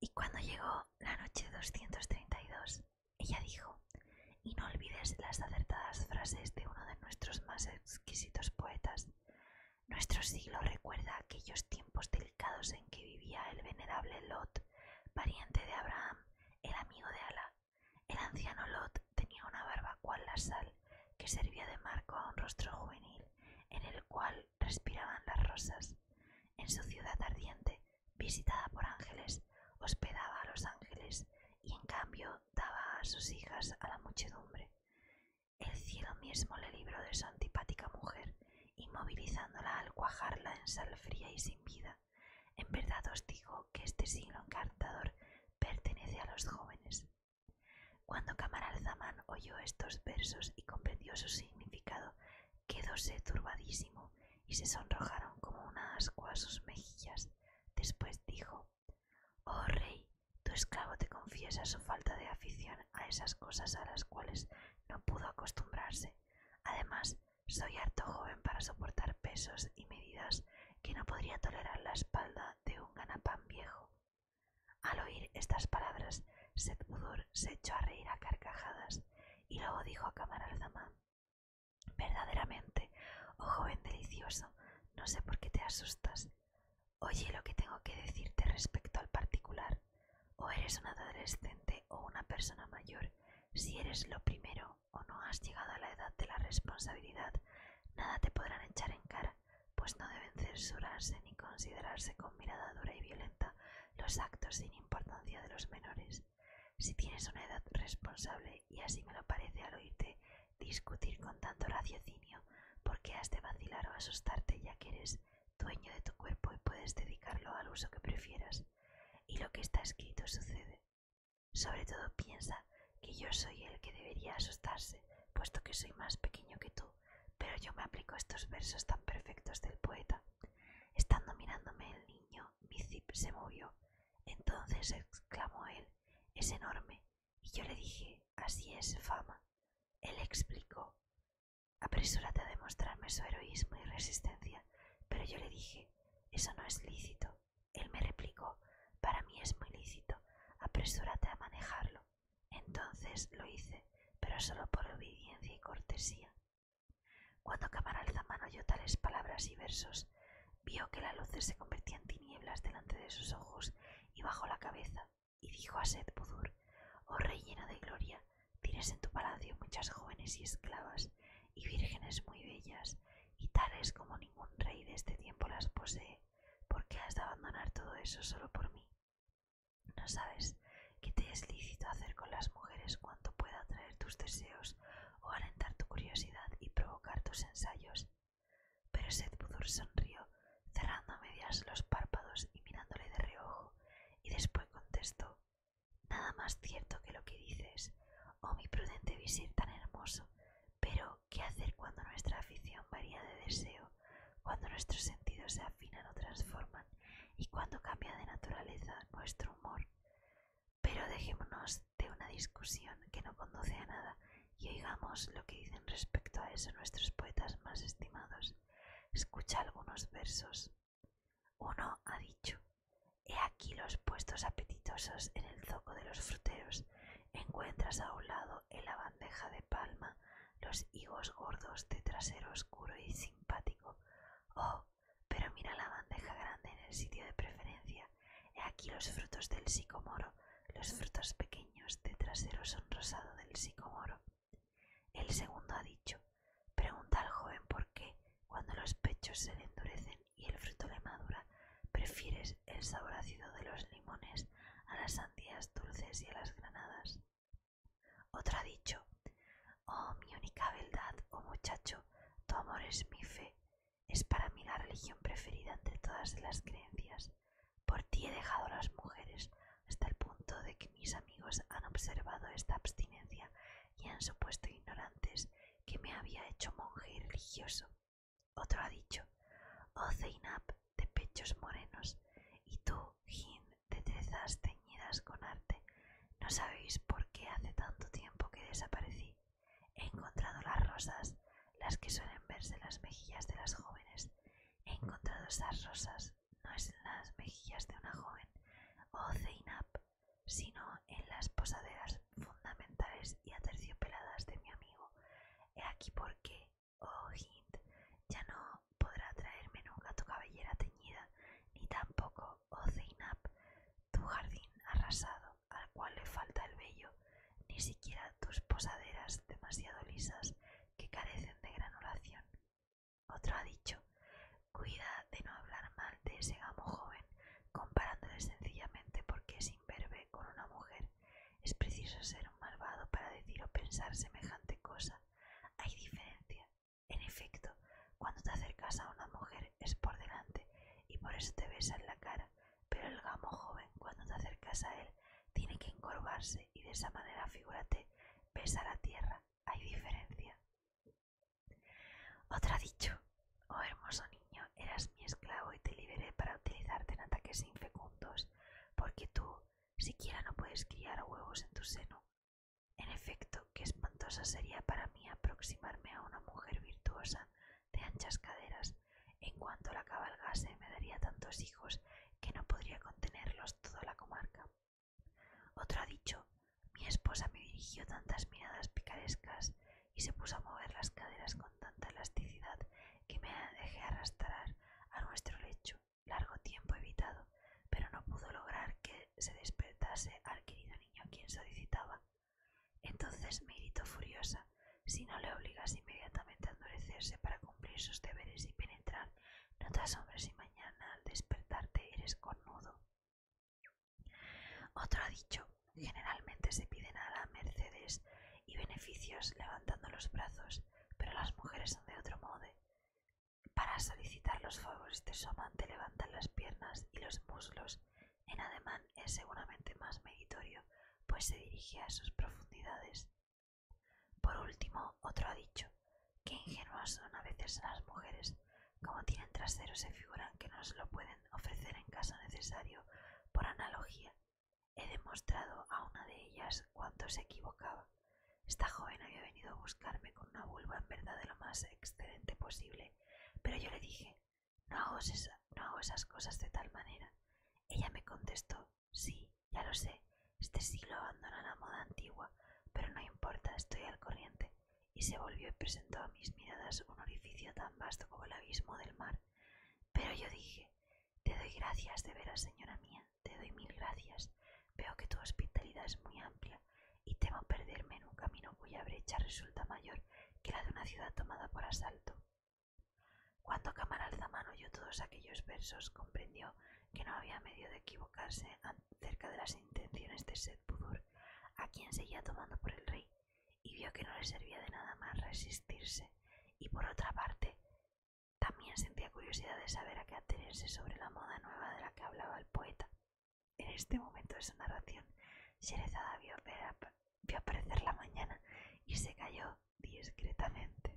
Y cuando llegó la noche 232, ella dijo, y no olvides las acertadas frases de uno de nuestros más exquisitos poetas, nuestro siglo recuerda aquellos tiempos en que vivía el venerable Lot, pariente de Abraham, el amigo de Alá. El anciano Lot tenía una barba cual la sal, que servía de marco a un rostro juvenil, en el cual respiraban las rosas. En su ciudad ardiente, visitada por ángeles, hospedaba a los ángeles y en cambio daba a sus hijas a la muchedumbre. El cielo mismo le libró de su antipática mujer, inmovilizándola al cuajarla en sal fría y sin vida. En verdad os digo que este siglo encantador pertenece a los jóvenes. Cuando Camaralzamán oyó estos versos y comprendió su significado, quedóse turbadísimo y se sonrojaron como una ascua a sus mejillas. Después dijo, Oh rey, tu esclavo te confiesa su falta de afición a esas cosas a las cuales no pudo acostumbrarse. Además, soy harto joven para soportar pesos y medidas que no podría tolerar la espalda de un ganapán viejo. Al oír estas palabras, Seth se echó a reír a carcajadas y luego dijo a Kamar Verdaderamente, oh joven delicioso, no sé por qué te asustas. Oye lo que tengo que decirte respecto al particular. O eres un adolescente o una persona mayor. Si eres lo primero o no has llegado a la edad de la responsabilidad, nada te podrán echar en cara, pues no deben censurarse ni considerarse con mirada dura y violenta los actos sin importancia de los menores. Si tienes una edad responsable, y así me lo parece al oírte, discutir con tanto raciocinio, por qué has de vacilar o asustarte ya que eres dueño de tu cuerpo y puedes dedicarlo al uso que prefieras. Y lo que está escrito sucede. Sobre todo piensa que yo soy el que debería asustarse, puesto que soy más pequeño que tú, pero yo me aplico estos versos tan perfectos del poeta. Estando mirándome el niño, mi zip se movió. Entonces exclamó él, es enorme, yo le dije, así es, fama. Él explicó, apresúrate a demostrarme su heroísmo y resistencia, pero yo le dije, eso no es lícito. Él me replicó, para mí es muy lícito, apresúrate a manejarlo. Entonces lo hice, pero solo por obediencia y cortesía. Cuando Camaralzaman oyó tales palabras y versos, vio que las luz se convertía en tinieblas delante de sus ojos y bajó la cabeza y dijo a Seth Budur, Oh rey lleno de gloria, tienes en tu palacio muchas jóvenes y esclavas y vírgenes muy bellas, y tales como ningún rey de este tiempo las posee. ¿Por qué has de abandonar todo eso solo por mí? No sabes que te es lícito hacer con las mujeres cuanto pueda atraer tus deseos o alentar tu curiosidad y provocar tus ensayos. Pero Sedbudur sonrió, cerrando a medias los párpados y mirándole de reojo, y después contestó Nada más cierto que lo que dices, oh mi prudente visir tan hermoso, pero ¿qué hacer cuando nuestra afición varía de deseo, cuando nuestros sentidos se afinan o transforman, y cuando cambia de naturaleza nuestro humor? Pero dejémonos de una discusión que no conduce a nada y oigamos lo que dicen respecto a eso nuestros poetas más estimados. Escucha algunos versos. Uno ha dicho, he aquí los puestos apetitosos en el zoco de los fruteros. Encuentras a un lado en la bandeja de palma los higos gordos de trasero oscuro y simpático. Oh, pero mira la bandeja grande en el sitio de preferencia. He aquí los frutos del sicomoro. Los frutos pequeños de trasero rosado del sicomoro. El segundo ha dicho, pregunta al joven por qué, cuando los pechos se le endurecen y el fruto le madura, prefieres el sabor ácido de los limones a las sandías dulces y a las granadas. Otro ha dicho, oh mi única beldad, oh muchacho, tu amor es mi fe, es para mí la religión preferida entre todas las creencias. Por ti he dejado las mujeres hasta el punto de que mis amigos han observado esta abstinencia y han supuesto ignorantes que me había hecho monje religioso. Otro ha dicho, oh Zeinab, de pechos morenos, y tú, Jin, de trezas teñidas con arte, no sabéis por qué hace tanto tiempo que desaparecí. He encontrado las rosas, las que suelen verse en las mejillas de las jóvenes. He encontrado esas rosas, no es en las mejillas de una joven oh Zeinab, sino en las posaderas fundamentales y aterciopeladas de mi amigo. He aquí porque, oh Hint, ya no podrá traerme nunca tu cabellera teñida, ni tampoco tu jardín arrasado, al cual le falta el vello, ni siquiera tus posaderas demasiado lisas que carecen de granulación. Otro ha dicho, cuida de no hablar mal de ese amo joven, comparándole sencillamente porque es imberbe con una mujer. Es preciso ser un malvado para decir o pensar semejante cosa. Hay diferencia en efecto, cuando te acercas a una mujer es por delante y por eso te besa la cara, pero el gamo joven cuando te acercas a él tiene que encorvarse y de esa manera, figúrate, besa la tierra. Hay diferencia. Otra dicho, oh hermoso niño, eras mi esclavo y te liberé para utilizarte en ataques infecundos, porque tú siquiera no puedes guiar huevos en tu seno en efecto, qué espantosa sería para mí aproximarme a una mujer virtuosa de anchas caderas. En cuanto la cabalgase me daría tantos hijos que no podría contenerlos toda la comarca. Otro ha dicho, mi esposa me dirigió tantas miradas picarescas y se puso a mover las caderas con tanta elasticidad que me dejé arrastrar a nuestro lecho largo tiempo evitado, pero no pudo lograr que se despertase al querido niño a quien solicitaba. Entonces me irritó furiosa si no le obligas inmediatamente a endurecerse para cumplir sus deberes y penetrar, no te asombras si mañana al despertarte eres connudo. Otro ha dicho, generalmente se piden a la mercedes y beneficios levantando los brazos, pero las mujeres son de otro modo. Para solicitar los favores de su amante levantan las piernas y los muslos. En ademán es seguramente más meritorio, pues se dirige a sus profundidades. Por último, otro ha dicho, qué ingenuas son a veces las mujeres. Como tienen trasero se figuran que no se lo pueden ofrecer en caso necesario por analogía. He demostrado a una de ellas cuánto se equivocaba. Esta joven había venido a buscarme con una vulva en verdad de lo más excelente posible, pero yo le dije, no hago, esas cosas de tal manera. Ella me contestó, sí, ya lo sé, este siglo abandona la moda antigua, pero no importa, estoy al corriente, y se volvió y presentó a mis miradas un orificio tan vasto como el abismo del mar. Pero yo dije, te doy gracias de veras, señora mía, te doy mil gracias. Veo que tu hospitalidad es muy amplia y temo perderme en un camino cuya brecha resulta mayor que la de una ciudad tomada por asalto. Cuando camaralzaman oyó todos aquellos versos, comprendió que no había medio de equivocarse acerca de las intenciones de sed a quien seguía tomando por el rey, y vio que no le servía de nada más resistirse, y por otra parte, también sentía curiosidad de saber a qué atenerse sobre la moda nueva de la que hablaba el poeta. En este momento de su narración, Sherezada vio, vio aparecer la mañana y se cayó discretamente.